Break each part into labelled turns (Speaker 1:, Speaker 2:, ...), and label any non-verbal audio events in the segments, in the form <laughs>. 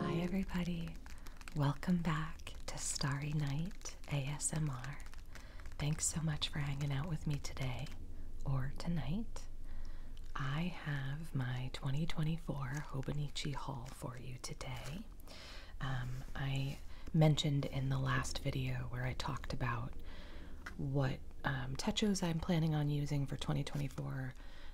Speaker 1: Hi, everybody. Welcome back to Starry Night ASMR. Thanks so much for hanging out with me today or tonight. I have my 2024 Hobonichi haul for you today. Um, I mentioned in the last video where I talked about what um, I'm planning on using for 2024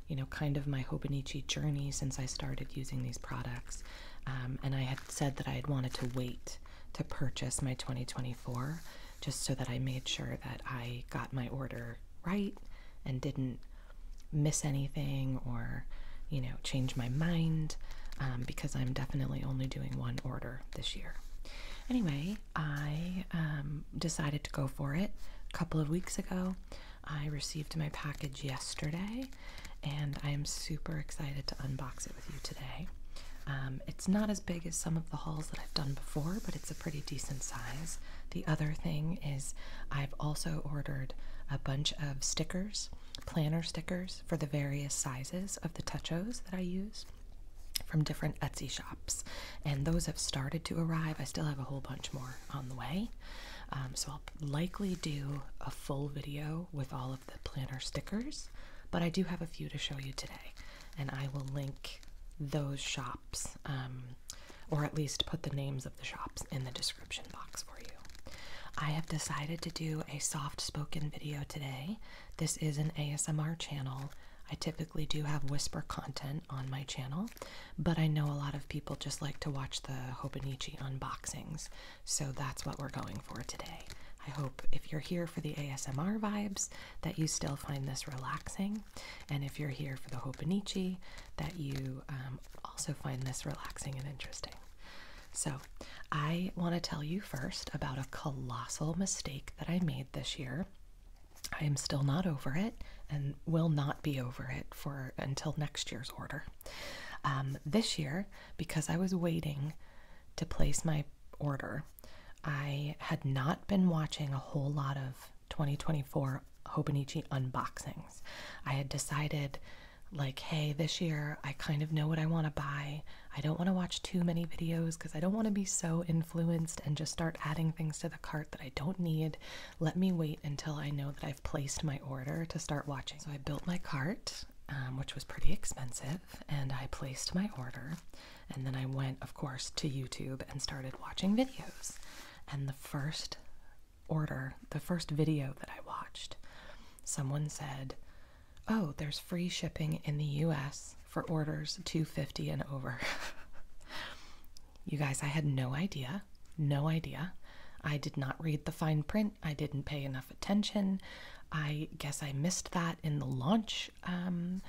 Speaker 1: you know, kind of my Hobonichi journey since I started using these products. Um, and I had said that I had wanted to wait to purchase my 2024 just so that I made sure that I got my order right and didn't miss anything or, you know, change my mind um, because I'm definitely only doing one order this year. Anyway, I um, decided to go for it a couple of weeks ago. I received my package yesterday and I am super excited to unbox it with you today. Um, it's not as big as some of the hauls that I've done before, but it's a pretty decent size. The other thing is, I've also ordered a bunch of stickers, planner stickers, for the various sizes of the touchos that I use from different Etsy shops, and those have started to arrive. I still have a whole bunch more on the way, um, so I'll likely do a full video with all of the planner stickers. But I do have a few to show you today, and I will link those shops, um, or at least put the names of the shops in the description box for you. I have decided to do a soft spoken video today. This is an ASMR channel, I typically do have whisper content on my channel, but I know a lot of people just like to watch the Hopenichi unboxings, so that's what we're going for today. I hope if you're here for the ASMR vibes that you still find this relaxing, and if you're here for the Hopenichi, that you um, also find this relaxing and interesting. So, I want to tell you first about a colossal mistake that I made this year. I am still not over it and will not be over it for until next year's order. Um, this year, because I was waiting to place my order, I had not been watching a whole lot of 2024 Hobonichi unboxings. I had decided, like, hey, this year I kind of know what I want to buy. I don't want to watch too many videos because I don't want to be so influenced and just start adding things to the cart that I don't need. Let me wait until I know that I've placed my order to start watching. So I built my cart, um, which was pretty expensive, and I placed my order. And then I went, of course, to YouTube and started watching videos. And the first order, the first video that I watched, someone said, Oh, there's free shipping in the US for orders 250 and over. <laughs> you guys, I had no idea. No idea. I did not read the fine print. I didn't pay enough attention. I guess I missed that in the launch um,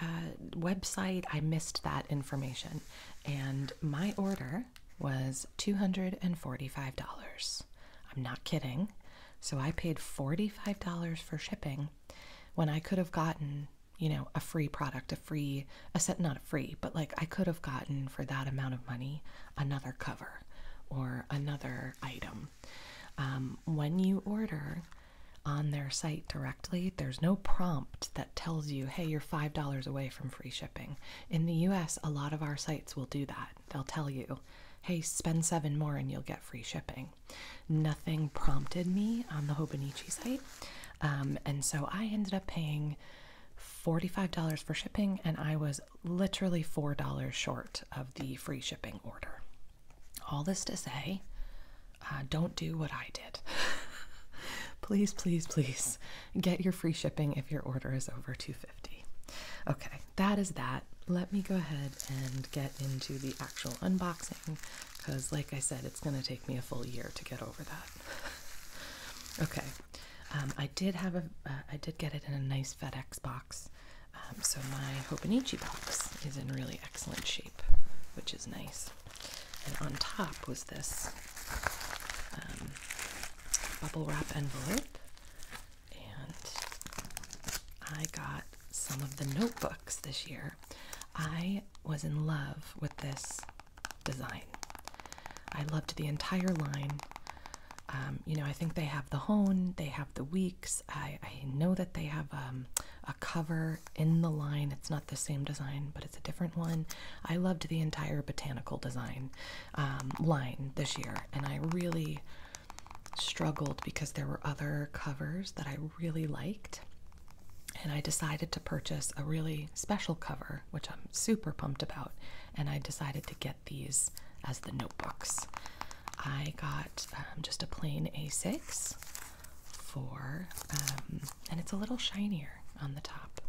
Speaker 1: uh, website. I missed that information. And my order was $245. I'm not kidding. So I paid $45 for shipping when I could have gotten you know, a free product, a free, a set, not a free, but like I could have gotten for that amount of money another cover or another item. Um, when you order on their site directly, there's no prompt that tells you, hey, you're $5 away from free shipping. In the US, a lot of our sites will do that. They'll tell you, hey, spend seven more and you'll get free shipping nothing. prompted me on the Hobonichi site. Um, and so I ended up paying $45 for shipping, and I was literally $4 short of the free shipping order. All this to say, uh, don't do what I did. <laughs> please, please, please get your free shipping if your order is over $250. Okay, that is that. Let me go ahead and get into the actual unboxing because, like I said, it's going to take me a full year to get over that. <laughs> okay, um, I did have a, uh, I did get it in a nice FedEx box, um, so my Hobonichi box is in really excellent shape, which is nice. And on top was this um, bubble wrap envelope, and I got some of the notebooks this year I was in love with this design. I loved the entire line. Um, you know, I think they have the hone, they have the weeks. I, know that they have um, a cover in the line. It's not the same design, but it's a different one. I loved the entire botanical design um, line this year, and I really struggled because there were other covers that I really liked. And I decided to purchase a really special cover, which I'm super pumped about. And I decided to get these as the notebooks. I got um, just a plain A6 for, um, and it's a little shinier on the top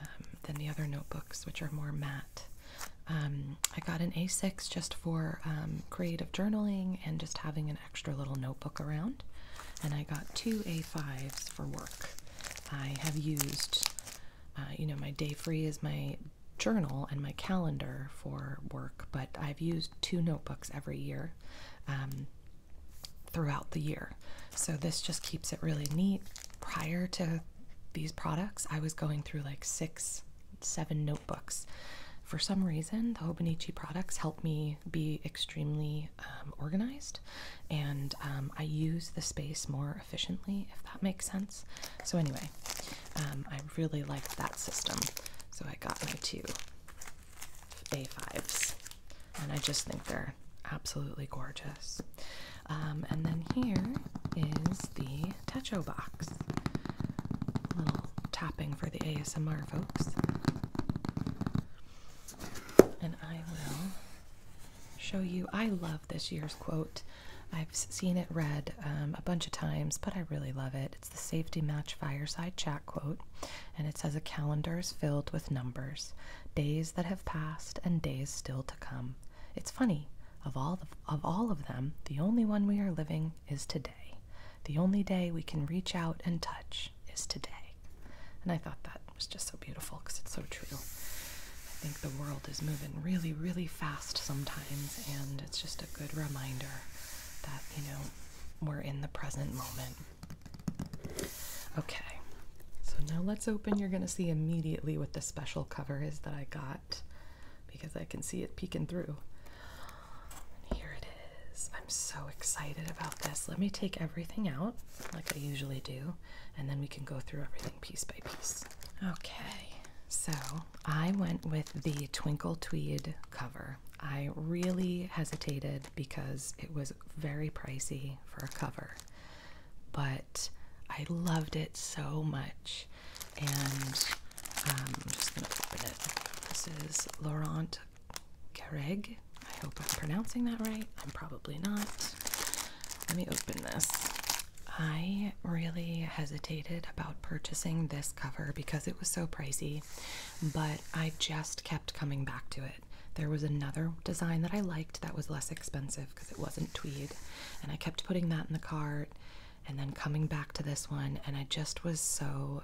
Speaker 1: um, than the other notebooks, which are more matte. I got an A6 just for um, creative journaling and just having an extra little notebook around. And I got two A5s for work. I have used, uh, you know, my day free is my journal and my calendar for work, but I've used two notebooks every year um, throughout the year. So this just keeps it really neat. Prior to these products, I was going through like six seven notebooks. For some reason, the Hobonichi products help me be extremely um, organized, and um, I use the space more efficiently, if that makes sense. So anyway, um, I really like that system, so I got my two A5s, and I just think they're absolutely gorgeous. and then here is the Techo box. little tapping for the ASMR folks. And I will show you. I love this year's quote. I've seen it read um, a bunch of times, but I really love it. It's the Safety Match Fireside Chat quote, and it says, A calendar is filled with numbers, days that have passed and days still to come. It's funny, of all of them, the only one we are living is today. The only day we can reach out and touch is today. And I thought that was just so beautiful because it's so true. I think the world is moving really, really fast sometimes, and it's just a good reminder that, you know, we're in the present moment. Okay, so now let's open. You're going to see immediately what the special cover is that I got because I can see it peeking through here it is. I'm so excited about this. Let me take everything out like I usually do, and then we can go through everything piece by piece. Okay, so I went with the Twinkle Tweed cover. I really hesitated because it was very pricey for a cover, but I loved it so much and um, I'm just going to open it. This is Laurent Garreg. I hope I'm pronouncing that right. I'm probably not. Let me open this. I really hesitated about purchasing this cover because it was so pricey, but I just kept coming back to it. There was another design that I liked that was less expensive because it wasn't tweed, and I kept putting that in the cart and then coming back to this one, and I just was so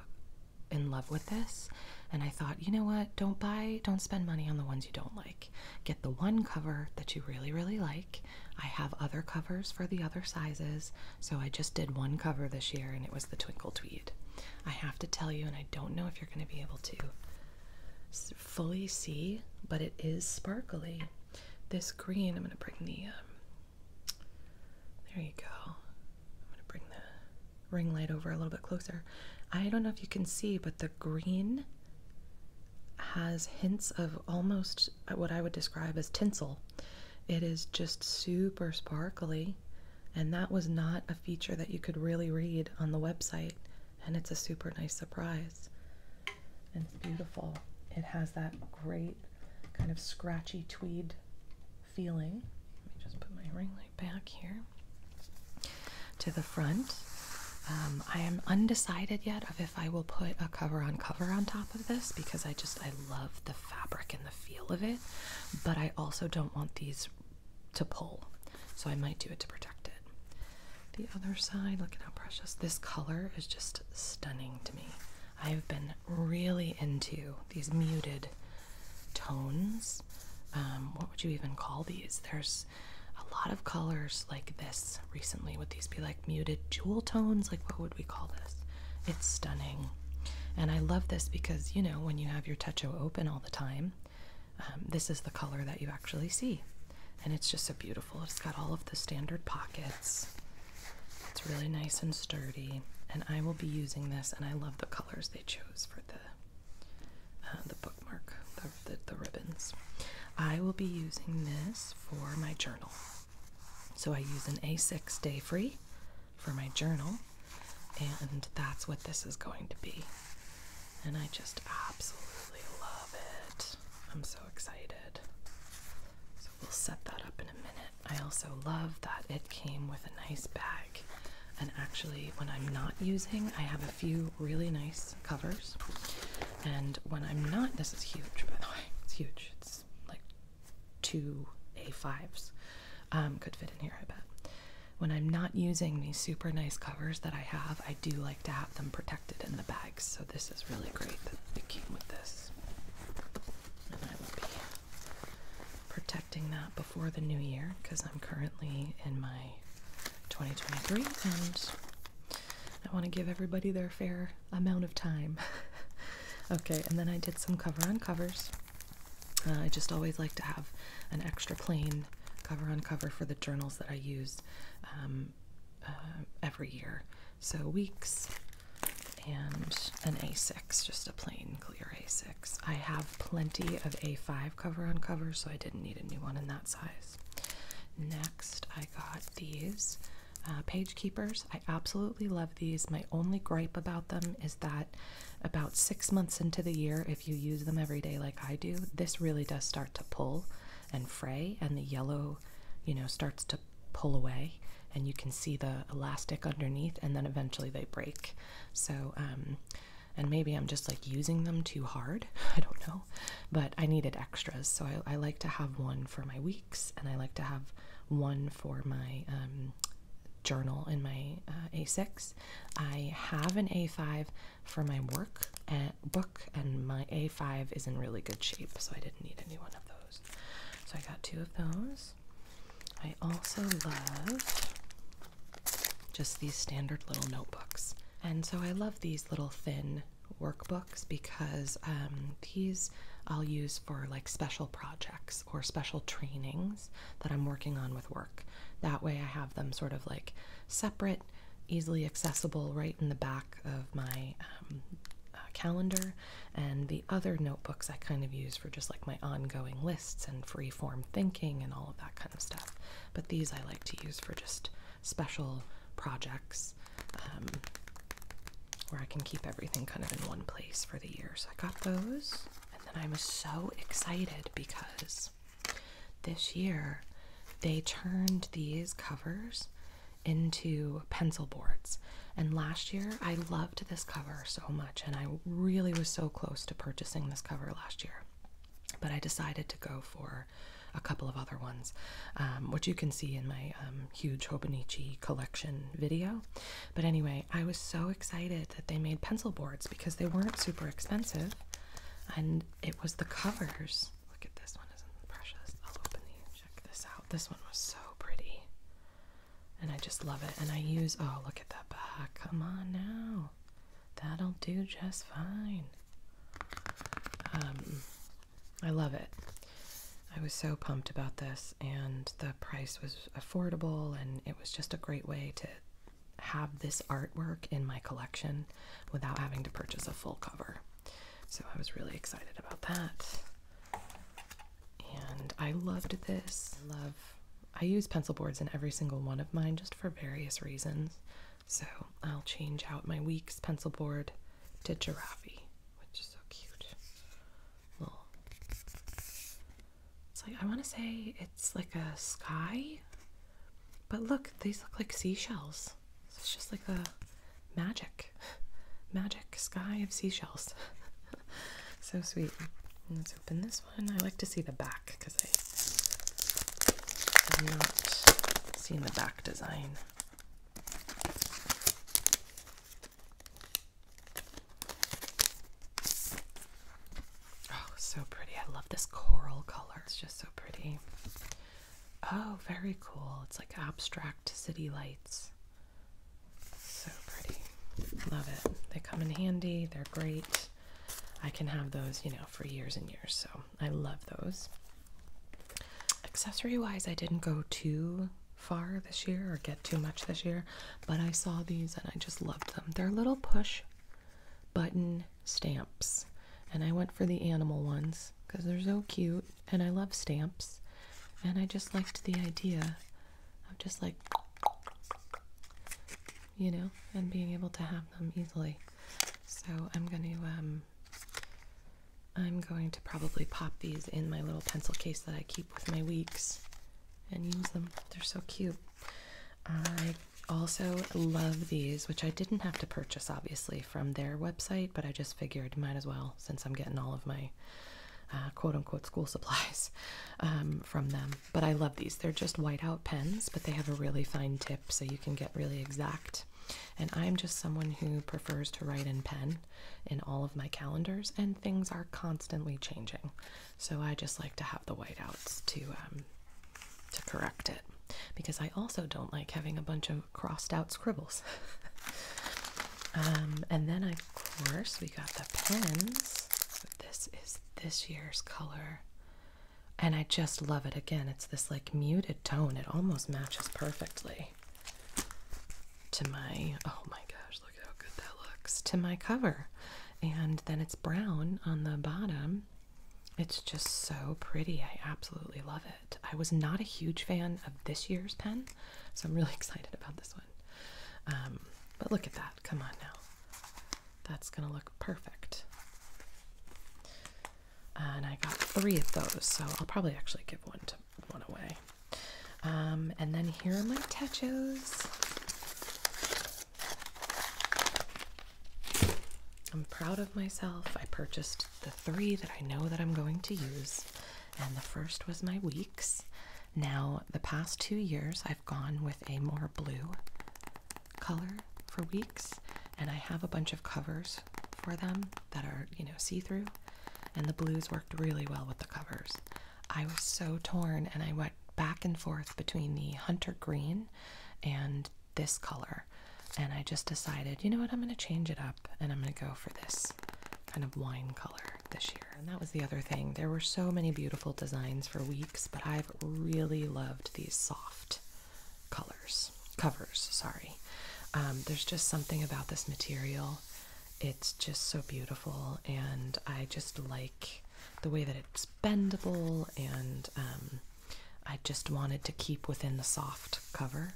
Speaker 1: in love with this. And I thought, you know what? Don't buy, don't spend money on the ones you don't like. Get the one cover that you really, really like. I have other covers for the other sizes, so I just did one cover this year, and it was the Twinkle Tweed. I have to tell you, and I don't know if you're going to be able to fully see, but it is sparkly. This green, I'm going to bring the um, there you go. I'm going to bring the ring light over a little bit closer. I don't know if you can see, but the green has hints of almost uh, what I would describe as tinsel. It is just super sparkly, and that was not a feature that you could really read on the website, and it's a super nice surprise. it's beautiful. It has that great kind of scratchy tweed feeling. Let me just put my ring light back here to the front. Um, I am undecided yet of if I will put a cover on cover on top of this because I just I love the fabric and the feel of it, but I also don't want these to pull, so I might do it to protect it. The other side, look at how precious this color is just stunning to me. I've been really into these muted tones. Um, what would you even call these? There's a lot of colors like this recently. Would these be like muted jewel tones? Like, what would we call this? It's stunning. And I love this because, you know, when you have your techo open all the time, um, this is the color that you actually see. And it's just so beautiful. It's got all of the standard pockets. It's really nice and sturdy, and I will be using this. And I love the colors they chose for the uh, the bookmark, the, the, the ribbons. I will be using this for my journal. So I use an A6 Day Free for my journal, and that's what this is going to be. And I just absolutely love it. I'm so excited. So we'll set that up in a minute. I also love that it came with a nice bag. And actually, when I'm not using, I have a few really nice covers. And when I'm not, this is huge, by the way. It's huge. It's like two A5s. Um, could fit in here, I bet. When I'm not using these super nice covers that I have, I do like to have them protected in the bags, so this is really great that it came with this. And I will be protecting that before the new year because I'm currently in my 2023 and I want to give everybody their fair amount of time. <laughs> okay, and then I did some cover on covers. Uh, I just always like to have an extra plain cover on cover for the journals that I use. Um, uh, every year. So weeks and an A6, just a plain clear A6. I have plenty of A5 cover on cover, so I didn't need a new one in that size. Next, I got these uh, page keepers. I absolutely love these. My only gripe about them is that about six months into the year, if you use them every day like I do, this really does start to pull and fray, and the yellow, you know, starts to pull away, and you can see the elastic underneath, and then eventually they break. So, um, and maybe I'm just like using them too hard, <laughs> I don't know, but I needed extras, so I, like to have one for my weeks, and I like to have one for my um, journal in my uh, A6. I have an A5 for my work, and book, and my A5 is in really good shape, so I didn't need any one of those. So I got two of those. I also love just these standard little notebooks. And so I love these little thin workbooks because um, these I'll use for like special projects or special trainings that I'm working on with work. That way I have them sort of like separate, easily accessible right in the back of my um, uh, calendar, and the other notebooks I kind of use for just like my ongoing lists and free form thinking and all of that kind of stuff. But these I like to use for just special projects um, where I can keep everything kind of in one place for the year. So I got those, and then I'm so excited because this year they turned these covers into pencil boards. And last year, I loved this cover so much, and I really was so close to purchasing this cover last year. But I decided to go for a couple of other ones, um, which you can see in my um, huge Hobonichi collection video. But anyway, I was so excited that they made pencil boards because they weren't super expensive, and it was the covers Look at this one, isn't it precious? I'll open these. Check this out. This one was so pretty. And I just love it. And I use, oh, look at that back. Come on now. That'll do just fine. Um, I love it. I was so pumped about this, and the price was affordable, and it was just a great way to have this artwork in my collection without having to purchase a full cover. So I was really excited about that. And I loved this. I love I use pencil boards in every single one of mine just for various reasons. So I'll change out my week's pencil board to giraffe, which is so cute. Little. It's like I want to say it's like a sky but look, these look like seashells. It's just like a magic, magic sky of seashells. <laughs> so sweet. Let's open this one. I like to see the back because I have not seen the back design. Oh, so pretty. I love this coral color. It's just so pretty. Oh, very cool. It's like abstract city lights. So pretty. Love it. They come in handy. They're great. I can have those, you know, for years and years. So I love those. Accessory wise, I didn't go too far this year or get too much this year, but I saw these and I just loved them. They're little push button stamps. And I went for the animal ones because they're so cute and I love stamps. And I just liked the idea of just like, you know, and being able to have them easily. So I'm going to, um, I'm going to probably pop these in my little pencil case that I keep with my weeks and use them. They're so cute also love these, which I didn't have to purchase obviously from their website, but I just figured might as well since I'm getting all of my uh, quote unquote school <laughs> supplies um, from them. But I love these. They're just whiteout pens, but they have a really fine tip so you can get really exact. And I'm just someone who prefers to write in pen in all of my calendars, and things are constantly changing. So I just like to have the whiteouts to um, to correct it because I also don't like having a bunch of crossed out scribbles. <laughs> Um, and then, of course, we got the pens. this is this year's color. And I just love it. Again, it's this like muted tone. It almost matches perfectly to my, oh my gosh, look how good that looks, to my cover. And then it's brown on the bottom it's just so pretty. I absolutely love it. I was not a huge fan of this year's pen, so I'm really <laughs> excited about this one. Um, but look at that. Come on now. That's going to look perfect. And I got three of those, so I'll probably actually give one to one away. Um, and then here are my tachos. I'm proud of myself. I purchased the three that I know that I'm going to use, and the first was my weeks. Now, the past two years, I've gone with a more blue color for weeks, and I have a bunch of covers for them that are, you know, see through, and the blues worked really well with the covers. I was so torn, and I went back and forth between the hunter green and this color. And I just decided, you know what, I'm going to change it up and I'm going to go for this kind of wine color this year. And that was the other thing. There were so many beautiful designs for weeks, but I've really loved these soft colors, covers, sorry. Um, there's just something about this material. It's just so beautiful and I just like the way that it's bendable and um, I just wanted to keep within the soft cover.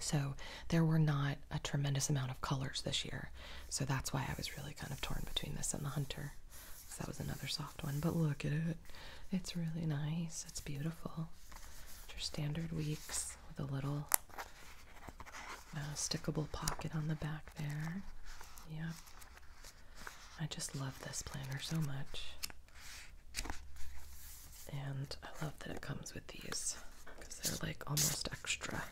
Speaker 1: So there were not a tremendous amount of colors this year. So that's why I was really kind of torn between this and the Hunter. So that was another soft one. But look at it. It's really nice. It's beautiful. It's your standard weeks with a little uh, stickable pocket on the back there. Yep. I just love this planner so much. And I love that it comes with these because they're like almost extra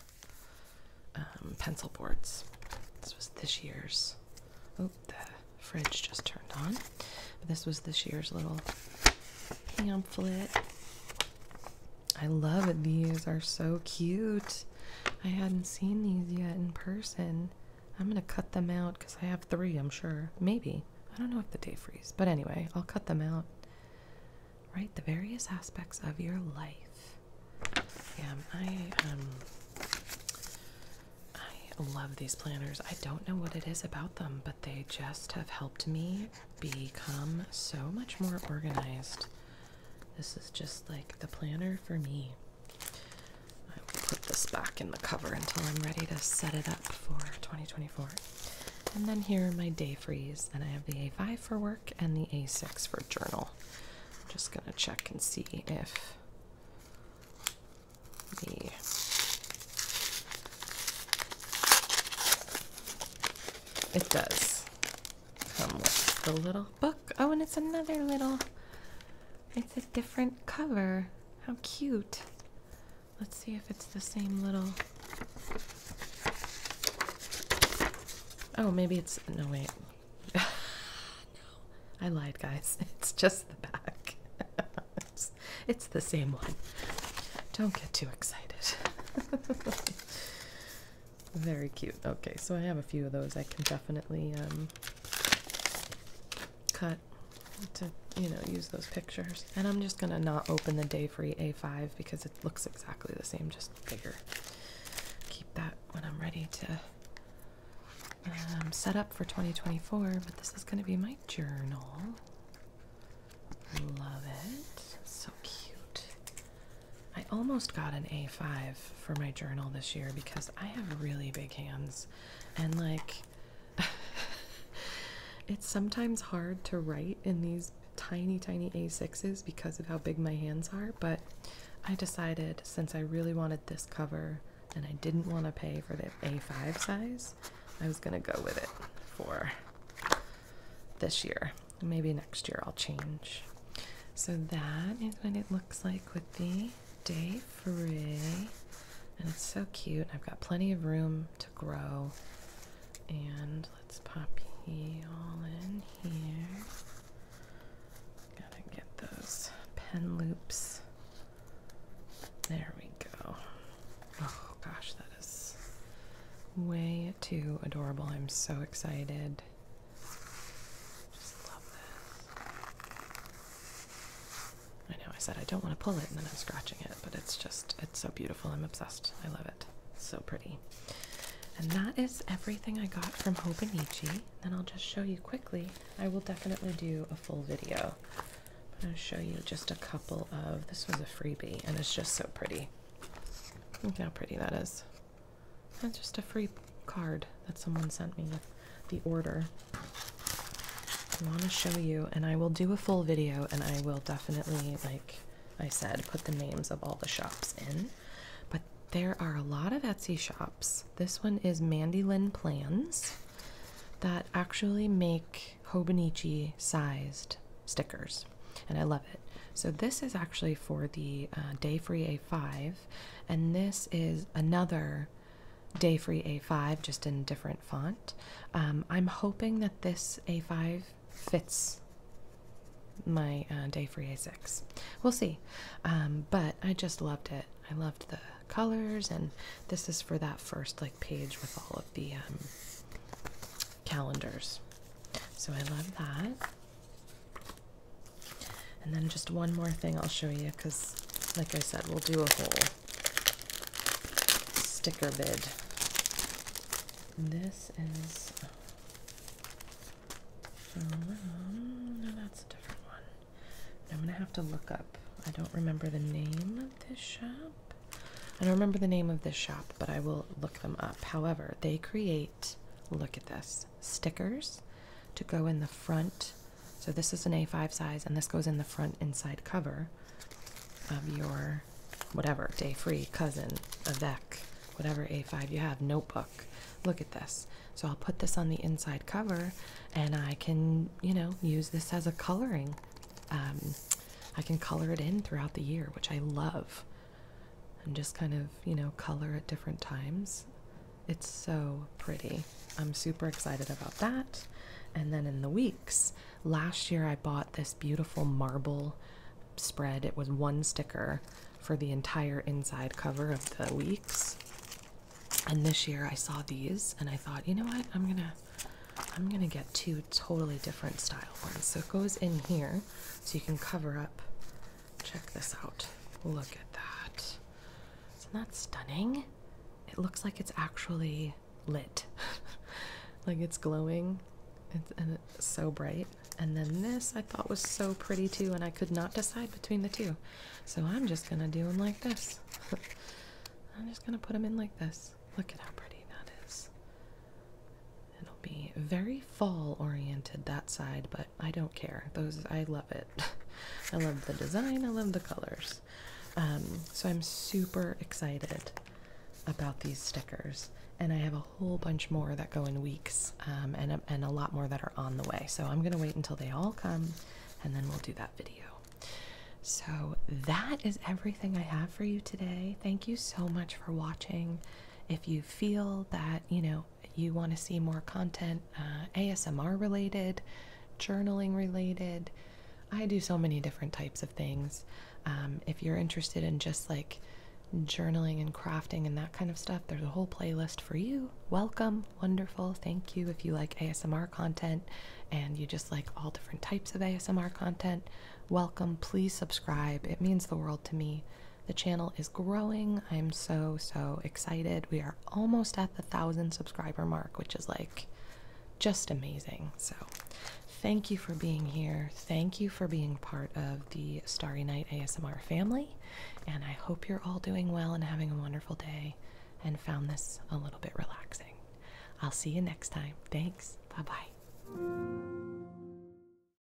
Speaker 1: um, pencil boards. This was this year's. Oh, the fridge just turned on. This was this year's little pamphlet. I love it. These are so cute. I hadn't seen these yet in person. I'm gonna cut them out because I have three, I'm sure. Maybe. I don't know if the day freeze, but anyway, I'll cut them out. Right, the various aspects of your life. Yeah, um, I um, I love these planners. I don't know what it is about them, but they just have helped me become so much more organized. This is just like the planner for me. I will put this back in the cover until I'm ready to set it up for 2024. And then here are my day freeze. And I have the A5 for work and the A6 for journal. I'm just going to check and see if the it does come with the little book. Oh, and it's another little it's a different cover. How cute. Let's see if it's the same little. Oh, maybe it's. No, wait. <laughs> no, I lied, guys. <laughs> It's just the back. <laughs> it's, the same one. Don't get too excited. Very cute. Okay, so I have a few of those. I can definitely um, cut to you know use those pictures. And I'm just gonna not open the Day Free A5 because it looks exactly the same, just bigger. Keep that when I'm ready to um, set up for 2024. But this is gonna be my journal. Love it. So cute. I almost got an A5 for my journal this year because I have really big hands and like <laughs> it's sometimes hard to write in these tiny tiny A6s because of how big my hands are, but I decided since I really wanted this cover and I didn't want to pay for the A5 size, I was going to go with it for this year. Maybe next year I'll change. So that is what it looks like with the day free. And it's so cute. I've got plenty of room to grow. And let's pop you all in here. Gotta get those pen loops. There we go. Oh gosh, that is way too adorable. I'm so excited. Just love this. I know I said I don't want to pull it and then I'm scratching it, but it's just, it's so beautiful. I'm obsessed. I love it. so pretty. And that is everything I got from Hobonichi. And I'll just show you quickly. I will definitely do a full video. But I'll show you just a couple of, this was a freebie and it's just so pretty. Look how pretty that is. That's just a free card that someone sent me the order. I want to show you, and I will do a full video, and I will definitely, like I said, put the names of all the shops in. But there are a lot of Etsy shops. This one is Mandy Lynn Plans that actually make Hobonichi sized stickers, and I love it. So, this is actually for the uh, Day Free A5 and this is another Day Free A5, just in different font. Um, I'm hoping that this A5 fits my uh, Day Free A6. We'll see. Um, but I just loved it. I loved the colors, and this is for that first like page with all of the um, calendars. So I love that. And then just one more thing I'll show you because, like I said, we'll do a whole sticker bid. This is from, no, that's a different one. I'm going to have to look up. I don't remember the name of this shop. I don't remember the name of this shop, but I will look them up. However, they create, look at this stickers to go in the front. So, this is an A5 size, and this goes in the front inside cover of your whatever day free cousin, Avec, whatever A5 you have, notebook. Look at this. So, I'll put this on the inside cover, and I can, you know, use this as a coloring. Um, I can color it in throughout the year, which I love and just kind of, you know, color at different times. It's so pretty. I'm super excited about that. And then in the weeks, last year I bought this beautiful marble spread. It was one sticker for the entire inside cover of the weeks. And this year I saw these and I thought, you know what? I'm going to I'm going to get two totally different style ones. So it goes in here so you can cover up Check this out. Look at that. Isn't that stunning? It looks like it's actually lit. <laughs> like it's glowing and it's so bright. And then this I thought was so pretty too, and I could not decide between the two. So I'm just gonna do them like this. <laughs> I'm just gonna put them in like this. Look at how pretty that is. It'll be very fall oriented that side, but I don't care. Those I love it. <laughs> I love the design, I love the colors. Um, so I'm super excited about these stickers. And I have a whole bunch more that go in weeks, um, and, and a lot more that are on the way. So I'm going to wait until they all come, and then we'll do that video. So that is everything I have for you today. Thank you so much for watching. If you feel that, you know, you want to see more content, uh, ASMR related, journaling related. I do so many different types of things. Um, if you're interested in just like journaling and crafting and that kind of stuff, there's a whole playlist for you. Welcome, wonderful, thank you. If you like ASMR content and you just like all different types of ASMR content, welcome. Please subscribe, it means the world to me. The channel is growing. I'm so, so excited. We are almost at the thousand subscriber mark, which is like just amazing. So, thank you for being here. Thank you for being part of the Starry Night ASMR family. And I hope you're all doing well and having a wonderful day and found this a little bit relaxing. I'll see you next time. Thanks. Bye bye.